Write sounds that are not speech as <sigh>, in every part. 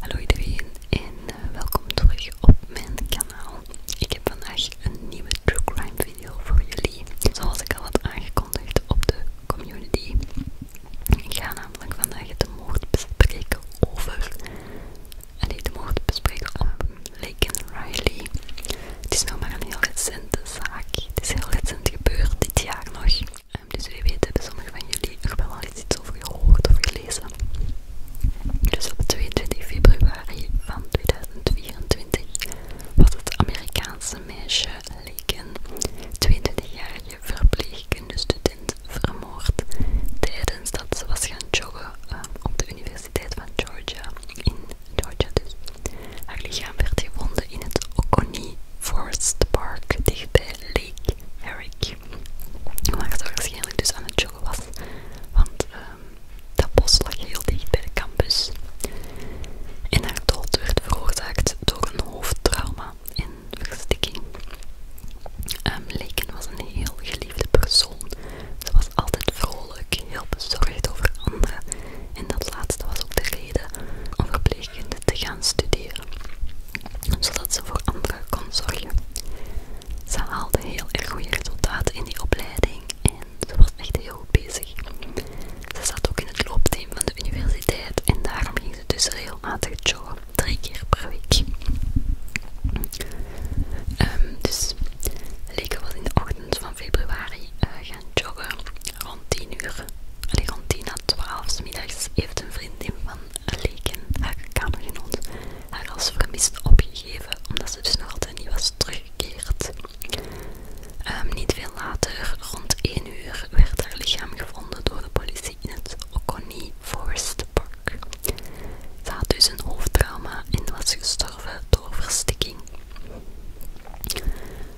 Hallo iedereen en eh, welkom terug op mijn kanaal. Ik heb vandaag een nieuwe True Crime video voor jullie. Zoals ik al had aangekondigd op de community. Ik ga namelijk vandaag de moord bespreken over... niet de moord bespreken over Lake Riley. Het is nog maar een heel recente zaak. Het is heel recent gebeurd, dit jaar nog. Ehm, dus wie weet hebben sommigen van jullie er wel al iets over gehoord of gelezen. Dus op 22 februari van 2024 was het Amerikaanse meisje een 22-jarige verpleegkundestudent, vermoord tijdens dat ze was gaan joggen ehm, op de Universiteit van Georgia in Georgia dus. Haar lichaam werd gevonden in het Oconee Forest Park dichtbij Lake Eric. Waar ze waarschijnlijk dus aan het joggen was, want ehm, dat bos lag heel dicht bij de campus. En haar dood werd veroorzaakt door een hoofdtrauma en verstikking. Ehm, Laken was een heel geliefde persoon. Ze was altijd vrolijk, heel bezorgd over anderen. En dat laatste was ook de reden om te gaan studeren, zodat ze voor anderen kon zorgen. Ze haalde heel erg goede resultaten in die opleiding en ze was echt heel goed bezig. Ze zat ook in het loopteam van de universiteit en daarom ging ze dus regelmatig joggen, drie keer per week. Um, dus Leke was in de ochtend van februari gaan. Eh, rond 10 uur. rond 10 12 middags heeft een vriendin van Leken, haar kamergenoot, haar als vermist opgegeven, omdat ze dus nog altijd niet was teruggekeerd. Ehm, niet veel later, rond 1 uur, werd haar lichaam gevonden door de politie in het Oconee Forest Park. Ze had dus een hoofdtrauma en was gestorven door verstikking.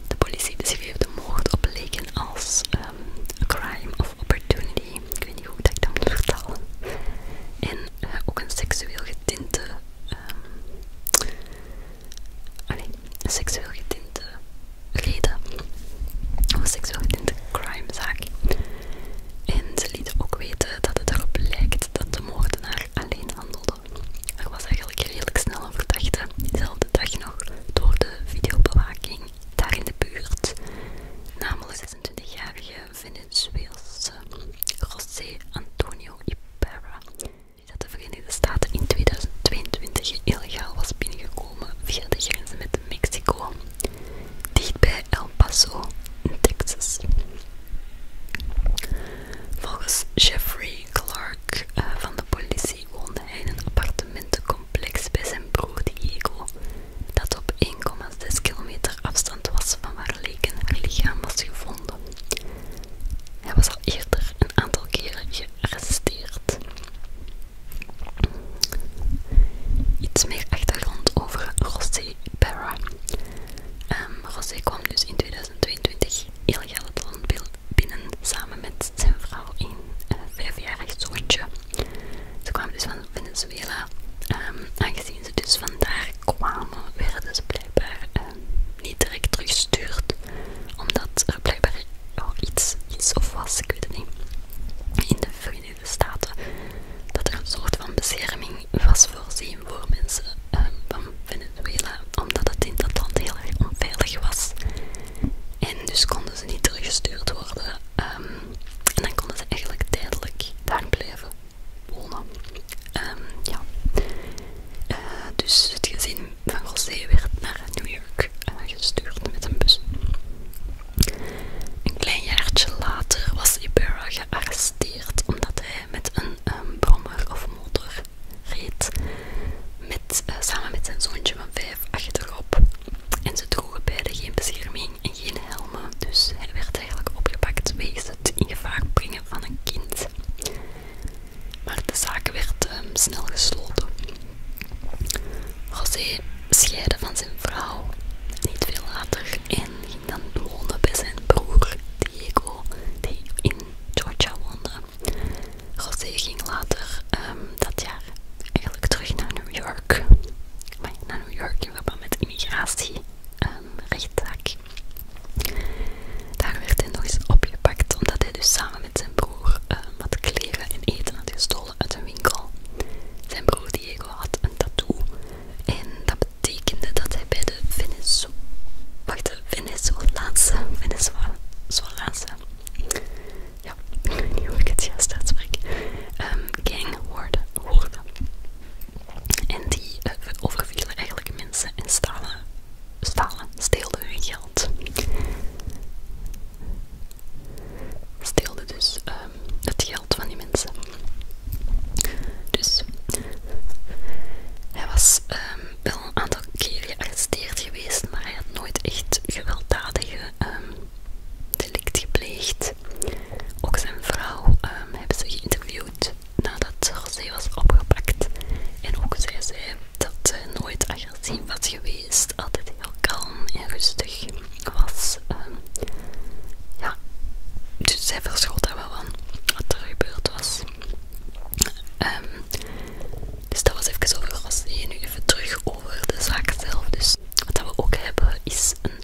De politie beschreef de moord op leken als ehm, crime of opportunity. Ik weet niet hoe ik dat moet vertalen. En eh, ook een seksueel getinte. Um, een seksueel getinte reden. Of een seksueel getinte crimezaak. En ze lieten ook weten dat het erop lijkt dat de moordenaar alleen handelde. Er was eigenlijk redelijk snel een verdachte, diezelfde dag nog door de videobewaking daar in de buurt, namelijk 26-jarige Venezuelse José Antonio Ipera die dat de Verenigde Staten in 2022 illegaal was binnengekomen via de grenzen met Mexico, dicht bij El Paso in Texas. Volgens Jeffrey Clark eh, van de politie hij woonde in een appartementencomplex bij zijn broer Diego, dat op 1,6 kilometer afstand was van waar Leken haar lichaam was gevonden. Hij was al eerder een aantal keren gearresteerd. Iets meer achtergrond over José Parra. Ehm, José kwam dus in 2022 illegaal het land binnen samen met zijn vrouw een eh, vijfjarig zoontje. Ze kwamen dus van Venezuela. Ehm, aangezien ze dus vandaar kwamen, werden ze blijkbaar ehm, niet direct teruggestuurd. Omdat er blijkbaar nog iets is of was, ik weet het niet. In de Verenigde Staten. Dat er een soort van bescherming was voorzien voor mensen ehm, van Venezuela. Omdat het in dat land heel erg onveilig was. En dus konden ze niet teruggestuurd worden. Ehm, en dan konden ze eigenlijk tijdelijk daar blijven wonen. Ehm, ja. Eh, dus het gezin van José werd naar New York eh, gestuurd met een bus. Een klein jaartje later was Ibarra gearresteerd omdat hij met een ehm, brommer of motor reed met, eh, samen met zijn zoontje van vijf achterop. En ze droegen beide geen bescherming en geen helmen, dus hij werd eigenlijk opgepakt wegens het in brengen van een kind. Maar de zaak werd ehm, snel gesloten. José scheidde van zijn vrouw niet veel later en ging dan wonen bij zijn broer Diego, die in Georgia woonde. José ging later ehm, dat jaar eigenlijk terug naar New York. Maar naar New York in verband met immigratie, rechtzaak. rechtszaak. Daar werd hij nog eens opgepakt omdat hij dus samen met zijn broer ehm, wat kleren en eten had gestolen uit een winkel. Zijn broer Diego had een tattoo en dat betekende dat hij bij de Venezuela. Wacht, de is Venezolaanse, Venezolaanse, ja, <laughs> ik weet niet hoe ik het juist uitspreek, um, gang worden. En die eh, overvielen eigenlijk mensen en stalen, stalen, steelden hun geld. Steelden dus ehm, het geld van die mensen. Dus hij was ehm, wel een aantal keer gearresteerd geweest, maar hij had nooit echt gewelddadige ehm, delict gepleegd. Ook zijn vrouw heeft ehm, hebben ze geïnterviewd nadat José was opgepakt. En ook zij zei dat ze nooit agressief was geweest, altijd heel kalm en rustig was. Ehm, ja, dus zij verschot daar wel van wat er gebeurd was. Dus dat was even over ras. Nu even terug over de zaak zelf. Dus wat we ook hebben is een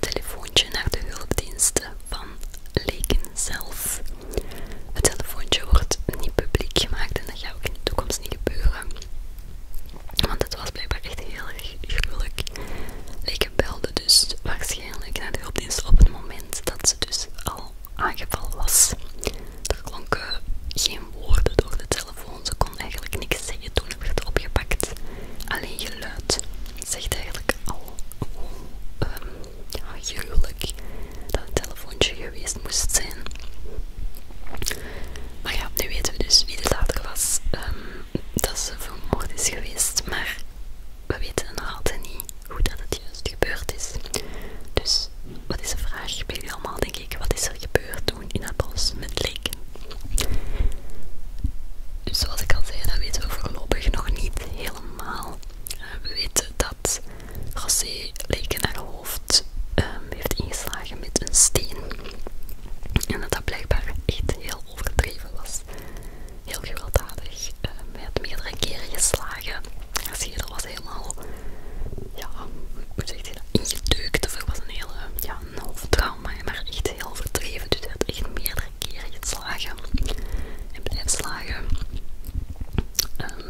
telefoontje naar de hulpdiensten van Leken zelf. Het telefoontje wordt niet publiek gemaakt en dat gaat ook in de toekomst niet gebeuren. Want het was blijkbaar echt heel erg gruwelijk. Leken belde dus waarschijnlijk naar de hulpdiensten op het moment dat ze dus al aangeval ah, was. Er klonken geen woorden door de telefoon. Ze kon eigenlijk niks zeggen toen ik werd opgepakt. Alleen geluid. zegt eigenlijk al hoe ehm, ja, gruwelijk dat het telefoontje geweest moest zijn. Maar ja, nu weten we dus wie de dader was. Ehm, dat ze vermoord is geweest, maar we weten nog altijd niet hoe dat het juist gebeurd is. Dus wat is de vraag bij jullie allemaal, denk ik? Wat is er gebeurd toen in het bos met leken? Dus zoals ik al zei, dat weten we voorlopig nog niet helemaal. Eh, we weten dat José leken naar hoofd ehm, heeft ingeslagen met een steen. En dat dat blijkbaar echt heel overdreven was. Heel gewelddadig. Ehm, hij had meerdere keren geslagen. Zie je, was helemaal, ja, ik moet zeggen, dat, ingedeukt. Of was een hele, ja, een half trauma, maar echt heel verdreven. Dus je echt meerdere keren geslagen en blijft slagen. Ehm,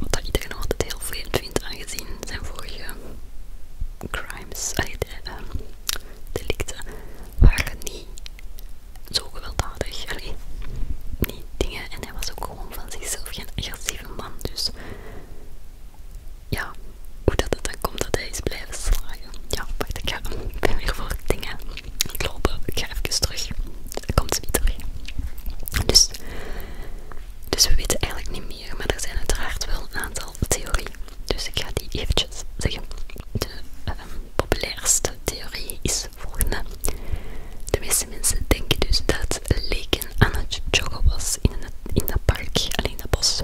wat dat iedereen altijd heel vreemd vindt, aangezien zijn vorige crimes, allee, ehm, delicten, waren niet zo gewelddadig. Allee, niet dingen. En hij was ook gewoon van zichzelf geen agressieve man. Dus ja, hoe dat het dan komt dat hij is blijven slagen. Ja, wacht, ik, ga, ben weer voor dingen lopen. Ik ga even terug. Dan komt ze niet terug. Dus, dus we weten eigenlijk niet meer, maar er zijn uiteraard wel een aantal theorieën. Dus ik ga die eventjes zeggen. De ehm, populairste theorie is volgende. De meeste mensen denken dus dat Leken aan het joggen was in, het, in dat park, alleen in dat bos.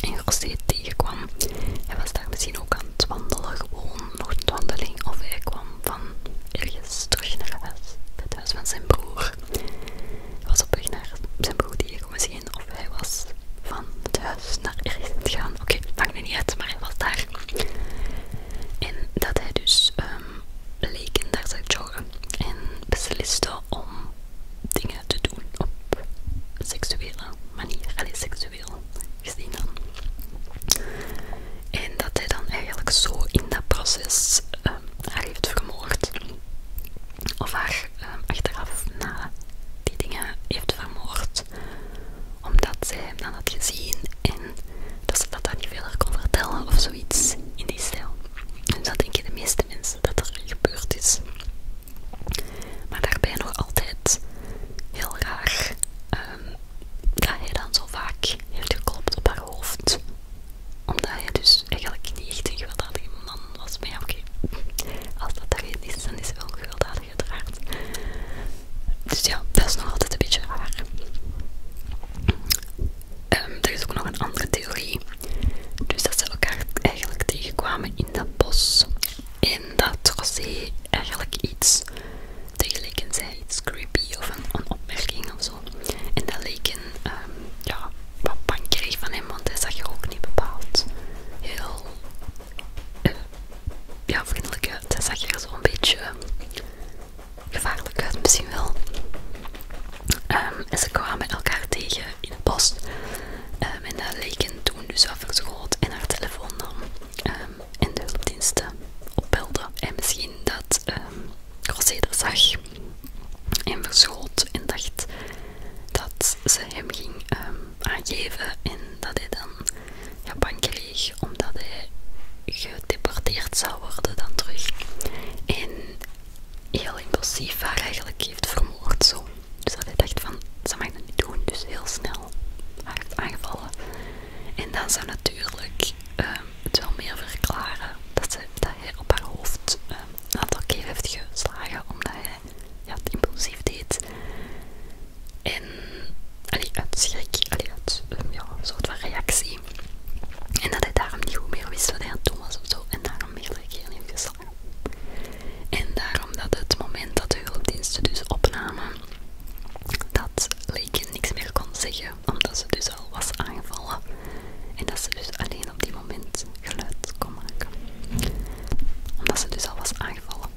En als hij het tegenkwam, hij was daar misschien ook aan het wandelen, gewoon nog een wandeling, of hij kwam van ergens terug naar huis, het huis van zijn broer. Hij was op weg naar zijn broer die hij misschien, of hij was van het huis naar ergens gegaan, gaan. Oké, het maakt niet uit, maar hij was daar. En dat hij dus um, leek en daar zag en besliste om dingen te doen op seksuele manier, alleen seksueel gezien dan. En dat hij dan eigenlijk zo in dat proces ehm, haar heeft vermoord. Of haar ehm, achteraf na die dingen heeft vermoord omdat zij hem dan had gezien en dat ze dat dan niet verder kon vertellen of zoiets in die stijl. Dus dat denken de meeste mensen dat er gebeurd is. Maar daarbij nog altijd heel raar ehm, dat hij dan zo vaak heeft geklopt op haar hoofd. Omdat hij dus eigenlijk niet echt een gewelddadige man was. Maar ja, oké, als dat er is, dan is hij wel een gewelddadige dus ja, dat is nog altijd een beetje raar. Ehm, er is ook nog een andere theorie. Dus dat ze elkaar eigenlijk tegenkwamen in dat bos. En dat Rosé eigenlijk iets tegelijken zei, iets creepy of een, opmerking of zo. En dat leek een, ehm, ja, kreeg van hem, want hij zag je ook niet bepaald heel eh, ja, vriendelijk uit. Hij zag er zo'n een beetje ehm, gevaarlijk uit, misschien wel. Ehm, en ze kwamen elkaar tegen in de post. Ehm, en dat leken toen dus en haar telefoon nam. en de hulpdiensten opbelde. En misschien dat Roseda Rosé dat zag en verschoot en dacht dat ze hem ging aangeven en dat hij dan ja, omdat hij gedeporteerd zou worden dan terug. En heel impulsief haar eigenlijk heeft vermoord zo. Dus dat hij dacht van, ze mag dat niet doen, dus heel snel haar heeft aangevallen. En dan zou natuurlijk ehm, het wel meer verklaren dat, ze, dat hij op haar hoofd ehm, een aantal keer heeft geslagen, omdat hij ja, het impulsief deed. En uit schrik, uit ehm, soort van reactie. En dat hij daarom niet goed meer wist wat hij aan het doen was of zo. En daarom meer geen heeft En daarom dat het moment dat de hulpdiensten dus opnamen, dat leek niks meer kon zeggen, omdat ze dus al was aangevallen. En dat ze dus alleen op die moment geluid kon maken. Omdat ze dus al was aangevallen.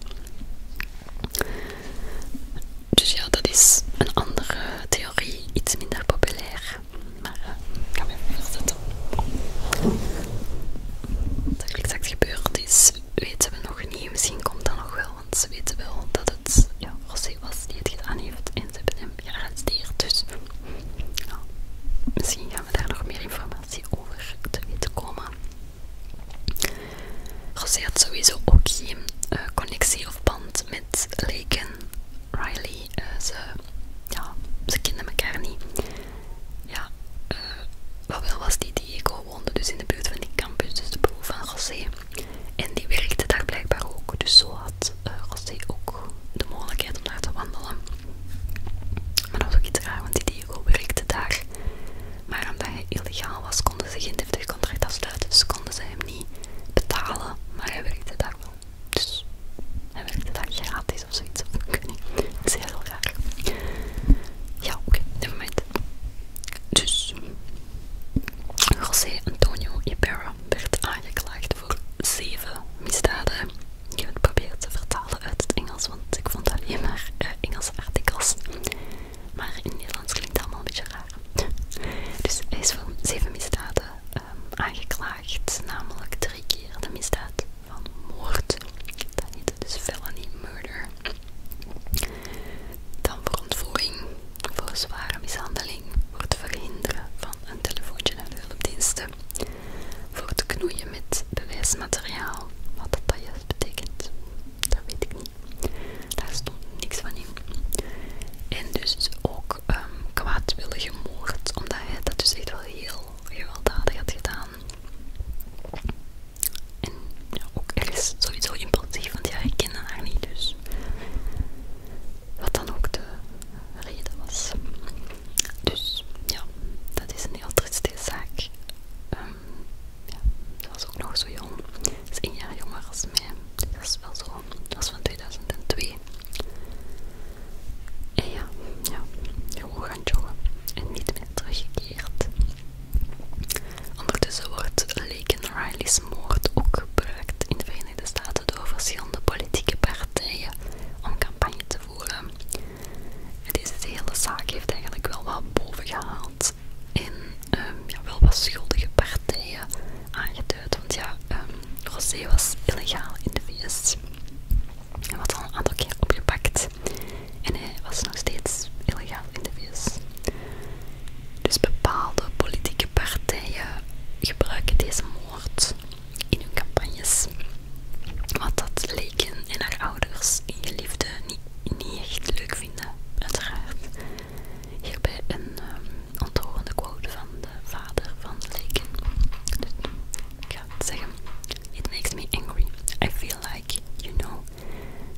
Dus ja, dat is een andere theorie, iets minder populair. Maar uh, ik ga me even Wat er exact gebeurd is, weten we nog niet. Misschien komt dat nog wel, want ze weten wel dat het ja, Rosé was die het gedaan heeft en ze hebben hem gearresteerd. Dus misschien gaan we daar nog meer informatie over te weten komen. José had sowieso ook geen eh, connectie of band met Lake en Riley. Eh, ze, ja, kenden elkaar niet. Ja, eh, wat wel was, die Diego woonde dus in de buurt van die campus, dus de broer van José. En die werkte daar blijkbaar ook, dus zo had ook de mogelijkheid om daar te wandelen. Maar dat was ook iets raar, want die Diego werkte daar. Maar omdat hij illegaal was, konden ze geen deftig afsluiten. Dus konden ze hem niet betalen. Maar hij werkte daar wel. Dus hij werkte daar gratis of zoiets. <laughs> Ik weet niet. Dat is heel raar. Ja, oké. Okay, never Dus... José Antonio Ibarra werd aangeklaagd voor zeven misdaden. Ik heb het proberen te vertalen uit het Engels, want ik vond alleen maar eh, Engelse artikels. Maar in het Nederlands klinkt het allemaal een beetje raar. Dus hij is voor zeven misdaden ehm, aangeklaagd, namelijk drie keer de misdaad van moord. Dat heette dus felony murder. Dan voor ontvoering, voor zware mishandeling, voor het verhinderen van een telefoontje naar de hulpdiensten, voor het knoeien met bewijsmateriaal, wat dat juist betekent, dat weet ik niet. Daar stond niks van in. En dus ook um, kwaadwillige moord, omdat hij dat dus echt wel heel gewelddadig had gedaan. En ja, ook ergens sowieso impulsief, want ja, ik kende haar niet, dus wat dan ook de reden was. Dus ja, dat is een heel triestige zaak. Um, ja, was ook nog zo jong. Ze is één jaar jonger als mij. Dat is wel zo. Dat is van 2002. En ja, ja, gewoon gaan joggen. En niet meer teruggekeerd. Ondertussen wordt Laken Riley's moord ook gebruikt in de Verenigde Staten door verschillende politieke partijen om campagne te voeren. En deze hele zaak heeft eigenlijk wel wat boven gehaald. En in ehm, wel wat schuldige partijen aangeduid. Want ja, ehm, Rosé was illegaal in de VS. Hij was al een aantal keer opgepakt en hij was nog steeds illegaal in de VS. Dus bepaalde politieke partijen gebruiken deze moord in hun campagnes. Wat dat leken en haar ouders en geliefden niet niet echt leuk vinden, uiteraard. Hierbij een um, ehm, ontroerende quote van de vader van Laken. Dus, ik ga zeggen. It makes me angry. I feel like, you know,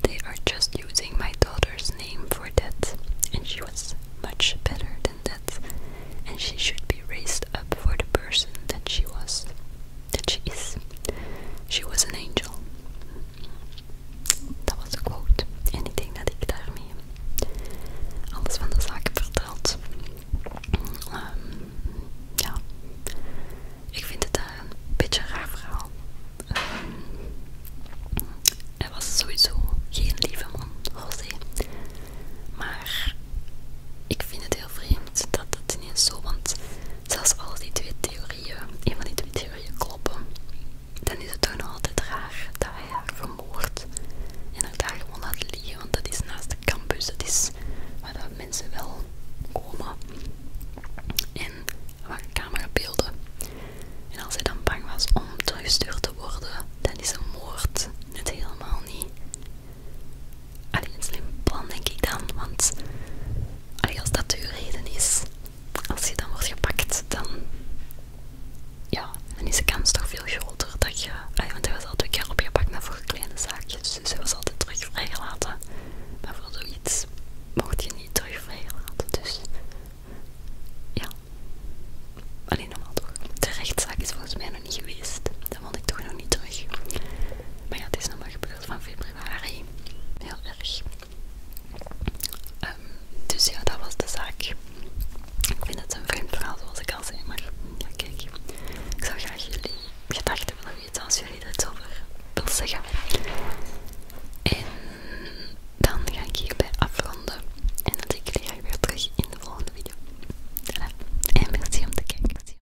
they are just using my daughter's name for that. And she was much better than that. And she should be raised up for the person that she was that she is. She was an angel. Dat was een quote. En ik denk dat ik daarmee alles van de zaak verteld. Ehm ja. Ik vind het daar een beetje een raar verhaal. hij ehm, was sowieso geen lieve man, José. Maar ik vind het heel vreemd dat het ineens zo, want Zelfs als die twee theorieën, een van die twee theorieën kloppen, dan is het toch nog altijd raar dat hij haar vermoord en haar daar gewoon laat liggen, want dat is naast de campus, dat is waar mensen wel komen en waar camerabeelden. En als hij dan bang was om teruggestuurd te worden, dan is een moord het helemaal niet. Alleen slim plan denk ik dan, want als dat uw reden is, als je dan wordt gepakt, dan, ja, dan is de kans toch veel groter dat je... want hij was altijd op keer opgepakt, maar voor kleine zaakjes, dus hij was altijd terug vrijgelaten. Maar voor zoiets mocht je niet terug vrijgelaten, dus... Ja. Alleen normaal toch. De rechtszaak is volgens mij nog niet geweest. Dat vond ik toch nog niet terug. Maar ja, het is nog maar gebeurd van Heel erg. Ehm, dus ja, dat was de zaak. Ik vind het een vreemd verhaal, zoals ik al zei, maar ja, kijk. Ik zou graag jullie gedachten willen weten als jullie er iets over willen zeggen. En dan ga ik hierbij afronden. En dan zie ik jullie graag weer terug in de volgende video. Voilà. En merci om te kijken.